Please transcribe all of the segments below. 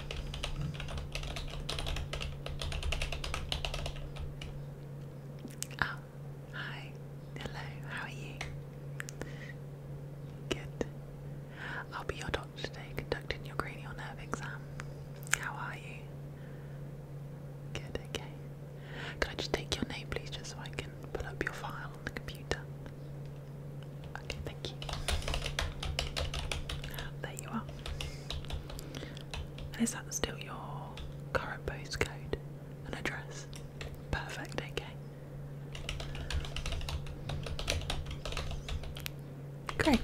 Oh, hi. Hello, how are you? Good. I'll be your doctor today conducting your cranial nerve exam. How are you? Good, okay. Could I just take your name, please, just so I can pull up your file on the computer? Okay, thank you. There you are. And is that still your current postcode and address? Perfect, okay. Great.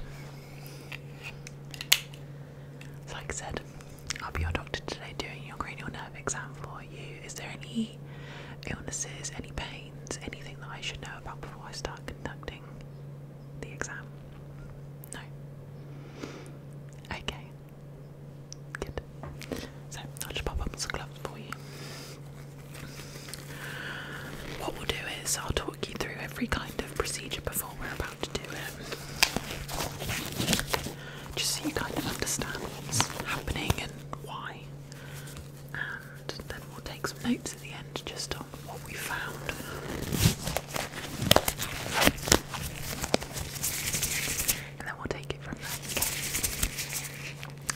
So like I said, I'll be your doctor today doing your cranial nerve exam for you. Is there any illnesses, any pains, anything that I should know about before I start conducting the exam? No. Okay. Good. So I'll just pop up some gloves for you. What we'll do is I'll talk you through every kind of procedure before we're about to do it. Just so you kind of understand what's happening and why and then we'll take some notes at the end just on what we found. And then we'll take it from there.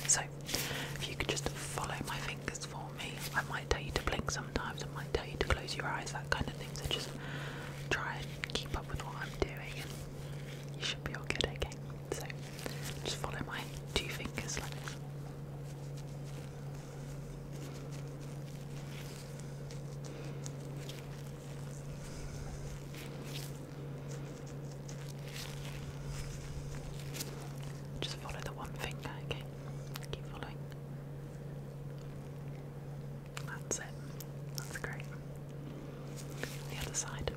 So, if you could just follow my fingers for me, I might tell you to blink sometimes, I might tell you to close your eyes, that kind of thing. So, just try and keep up with what I'm doing, and you should be all good, okay? So, just follow my two fingers just follow the one finger, okay? Keep following. That's it. That's great. The other side.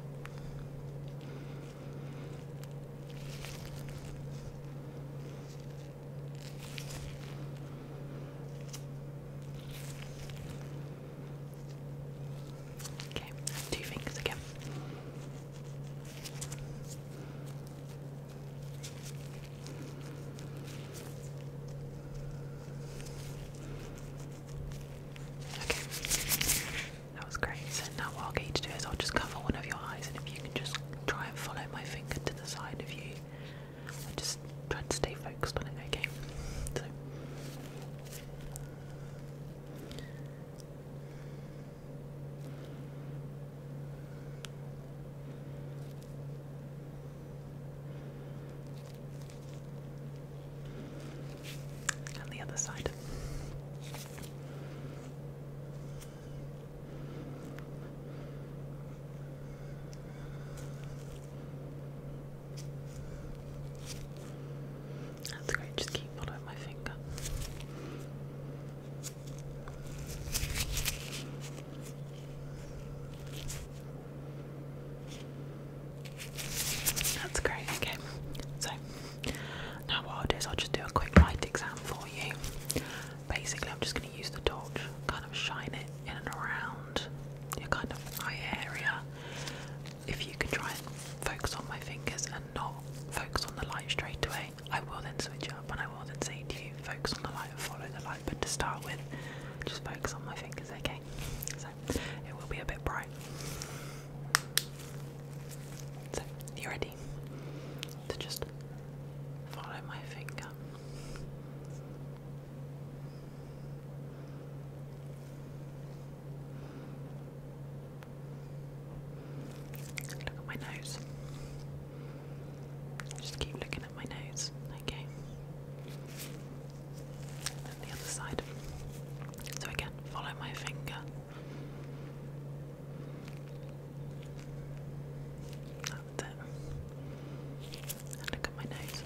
Okay, two fingers again. Okay, that was great. now what I'll to do is I'll just cover one of your eyes, and if you can just try and follow my finger to the side of you. just try to stay focused on it, okay? So. And the other side. That's great, just keep following my finger. That's great, okay. So now what I'll do is I'll just do a quick light exam for you. Basically I'm just going to use the torch, kind of shine it in and around your kind of eye area. If you can try and focus on my fingers and not focus on the light straight away, I will then switch up and I will then say to you, focus on the light and follow the light, but to start with, just focus on my fingers, okay? So it will be a bit bright. So, you ready to just Follow my finger. Look at my nose. Just keep looking at my nose, okay? And the other side. So again, follow my finger. That's look at my nose.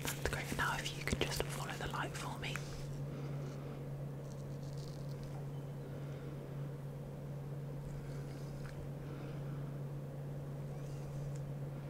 That's great. Now, if you could just follow the light for me.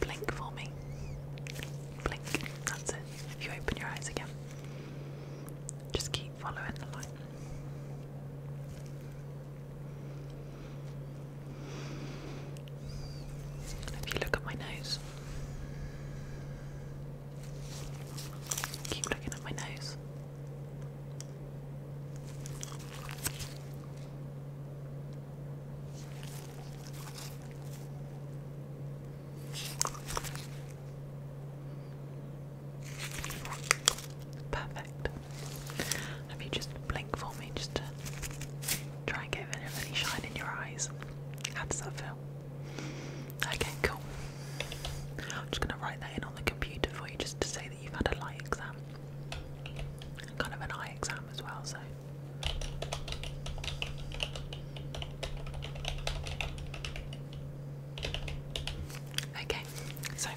Blink for me. Blink. That's it. If you open your eyes again, just keep following the light. If you look at my nose, keep looking at my nose. Perfect. Have you just blink for me just try and get any shine in your eyes? How does that feel? Okay, cool. I'm just gonna write that in on the computer for you just to say you've had a light exam, kind of an eye exam as well. So. Okay, so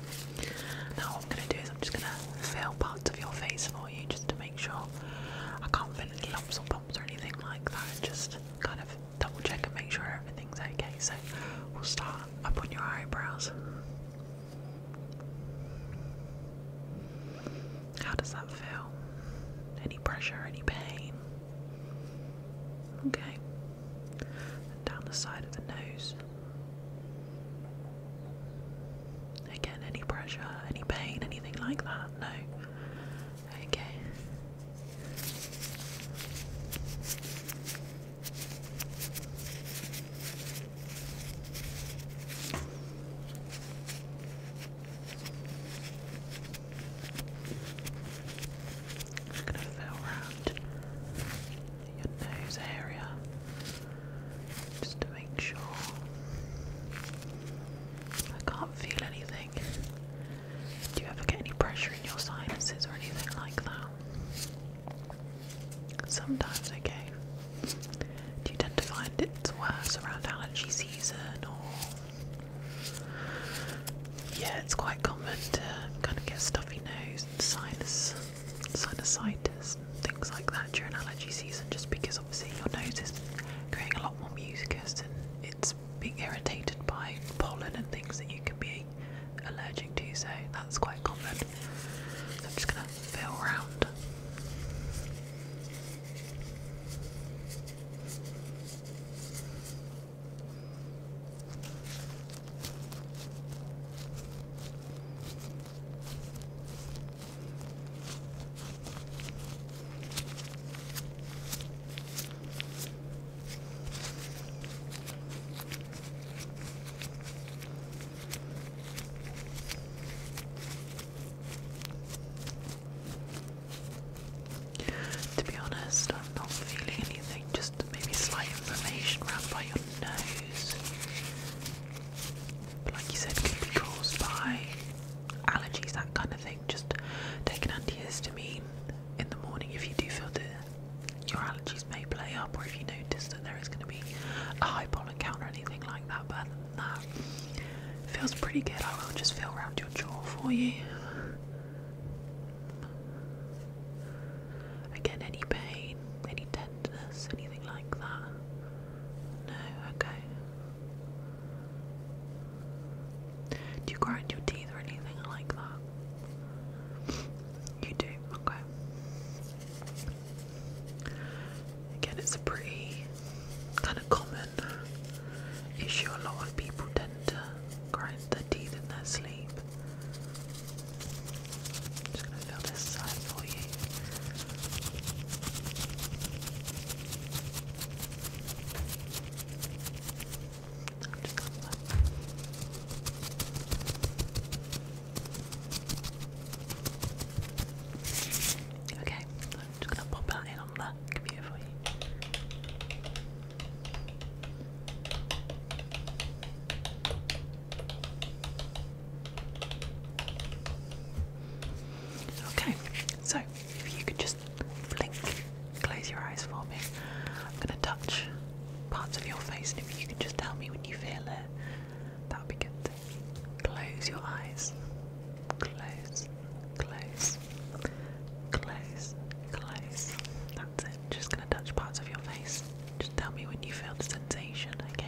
now what I'm going to do is I'm just going to fill parts of your face for you just to make sure I can't fill any lumps or bumps or anything like that. Just kind of double check and make sure everything's okay. So we'll start up on your eyebrows. How does that feel? Any pressure, any pain? Okay. down the side of the nose. Again, any pressure, any pain, anything like that? No. Okay. Just gonna fill around your nose area just to make sure I can't feel anything. Do you ever get any pressure in your sinuses or anything like that? Sometimes okay. Do you tend to find it's worse around allergy season or Yeah, it's quite common to kind of get stuffy nose and sinus sinusitis things like that during allergy season just because obviously your nose is creating a lot more mucus and it's being irritated by pollen and things that you can be allergic to so that's quite common. I'm just gonna fill around. To be honest, I'm not feeling anything, just maybe slight inflammation around by your nose. But like you said, could be caused by allergies, that kind of thing. Just taking antihistamine in the morning if you do feel that you're allergies may up, or if you notice that there is going to be a high pollen or anything like that. But other than that, feels pretty good. I will just feel around your jaw for you. Again, any pain, any tenderness, anything like that? No, okay. Do you grind your teeth or anything like that? You do, okay. Again, it's a pretty kind of common issue. A lot of people tend to grind their teeth in their sleep. I'm just this side for you. Okay, I'm just gonna pop that in on the computer for you. Okay, so if you could just blink, close your eyes for me. I'm gonna touch parts of your face, and if you could just tell me when you feel it, that would be good. Close your eyes. Close, close, close, close. That's it. Just gonna touch parts of your face. Just tell me when you feel the sensation, okay?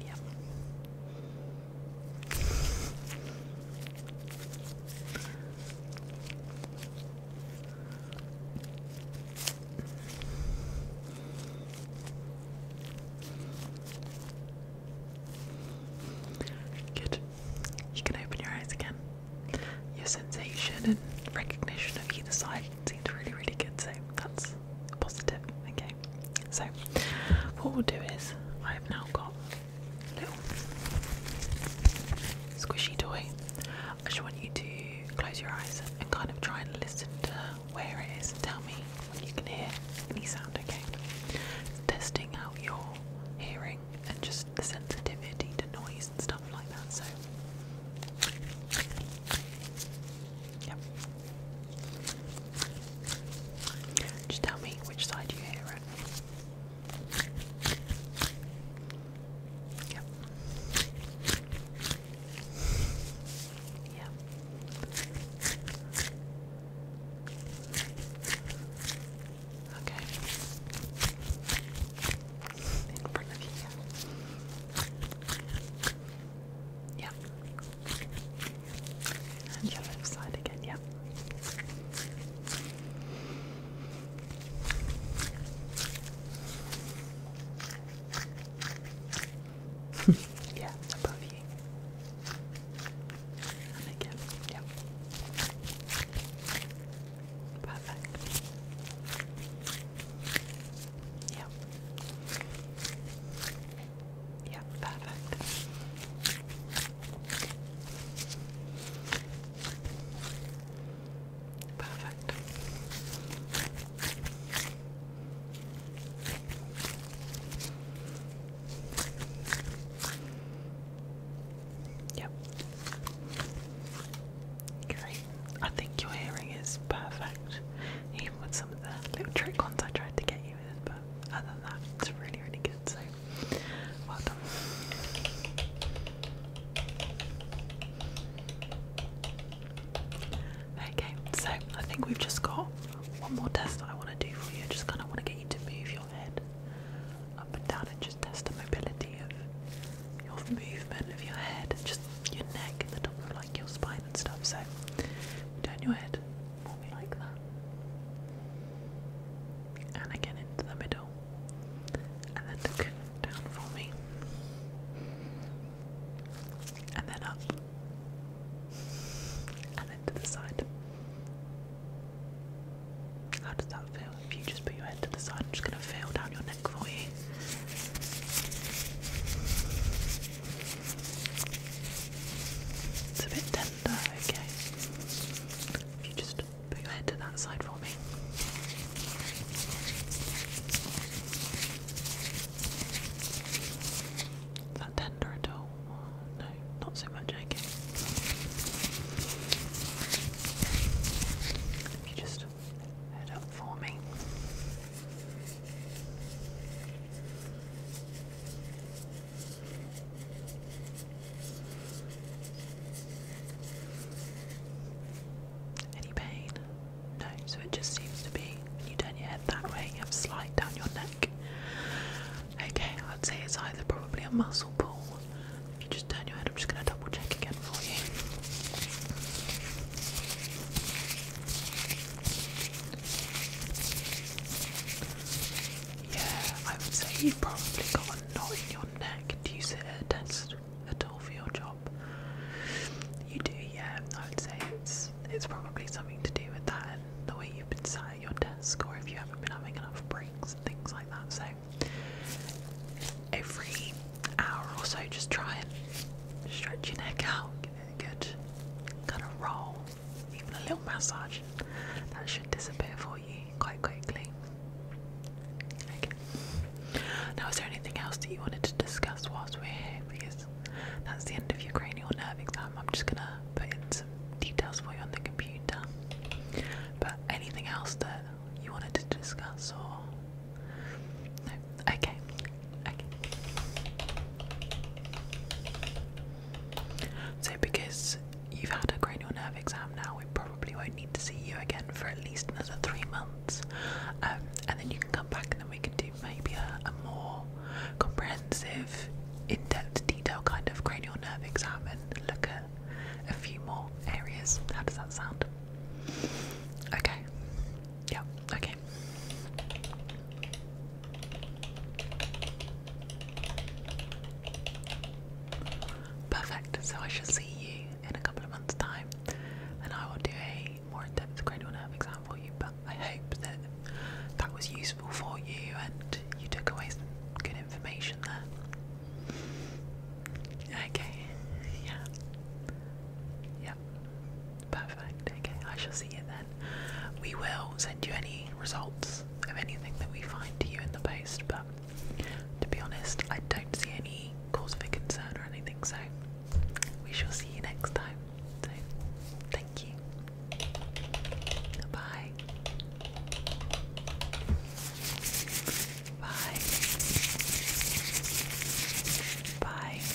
Yep. Good. You can open your eyes again. Your sensation and recognition of either side seems really, really good, so that's positive. Okay. So what we'll do is I have now got a little squishy toy. I just want you to close your eyes and kind of try and listen to where it is and tell me when you can hear any sound, okay? Testing out your hearing and just the sensitivity to noise and stuff like that. So Yep. Just tell me which side you hear it. Yep. Yep. Okay. In front of you. Yep. And your left side again, yep. yeah, above you. And again, yep. Perfect. Yep. Yeah, perfect. Perfect. Yep. Great. I think your hearing is perfect with some of the little trick ones I tried to get you with, but other than that, it's really, really good. So, well done. Okay, so I think we've just got one more test I want to do for you. just kind of want to get you to move your head up and down and just test the mobility of your movement of your head. Just your neck and the top of like your spine and stuff. So turn your head more like that, and again into the middle, and then look down for me, and then up, and then to the side. How does that feel? If you just put your head to the side, I'm just going to feel down your neck for you. It's a bit tender, okay. If you just put your head to that side for me. Is that tender at all? No, not so much, okay. If you just head up for me. Any pain? No, so it just seems to be when you turn your head that way, you have a down your neck. Okay, I'd say it's either probably a muscle pull. If you just turn your head, I'm just going to double check again for you. Yeah, I would say you've probably got a knot in your neck. Do you sit at a desk at all for your job? You do, yeah. I would say it's it's probably something to do with that and the way you've been sitting at your desk, or if you haven't been having enough breaks and things like that. So every hour or so, just try and stretch your neck out, get kind of roll, even a little massage, that should disappear for you quite quickly. Okay. Now, is there anything else that you wanted to discuss whilst we're here? Because that's the end of your cranial nerve exam. I'm just gonna put in some details for you on the computer. But anything else that you wanted to discuss or no? Okay, so, because you've had a cranial nerve exam now, we probably won't need to see you again for at least another three months. Um, and then you can come back and then we can do maybe a, more comprehensive, in depth, detail kind of cranial nerve exam and look at a few more areas. How does that sound? Okay. Yeah, okay. Perfect. So I shall see you in a couple of months' time, and I will do a more in-depth cranial nerve exam for you. But I hope that that was useful for you, and you took away some good information there. Okay. Yeah. Yeah. Perfect. Okay, I shall see you then. We will send you any results of anything that we find to you in the post, but to be honest, I don't see any cause for concern or anything, so we shall see you next time. So, thank you. Bye. Bye. Bye.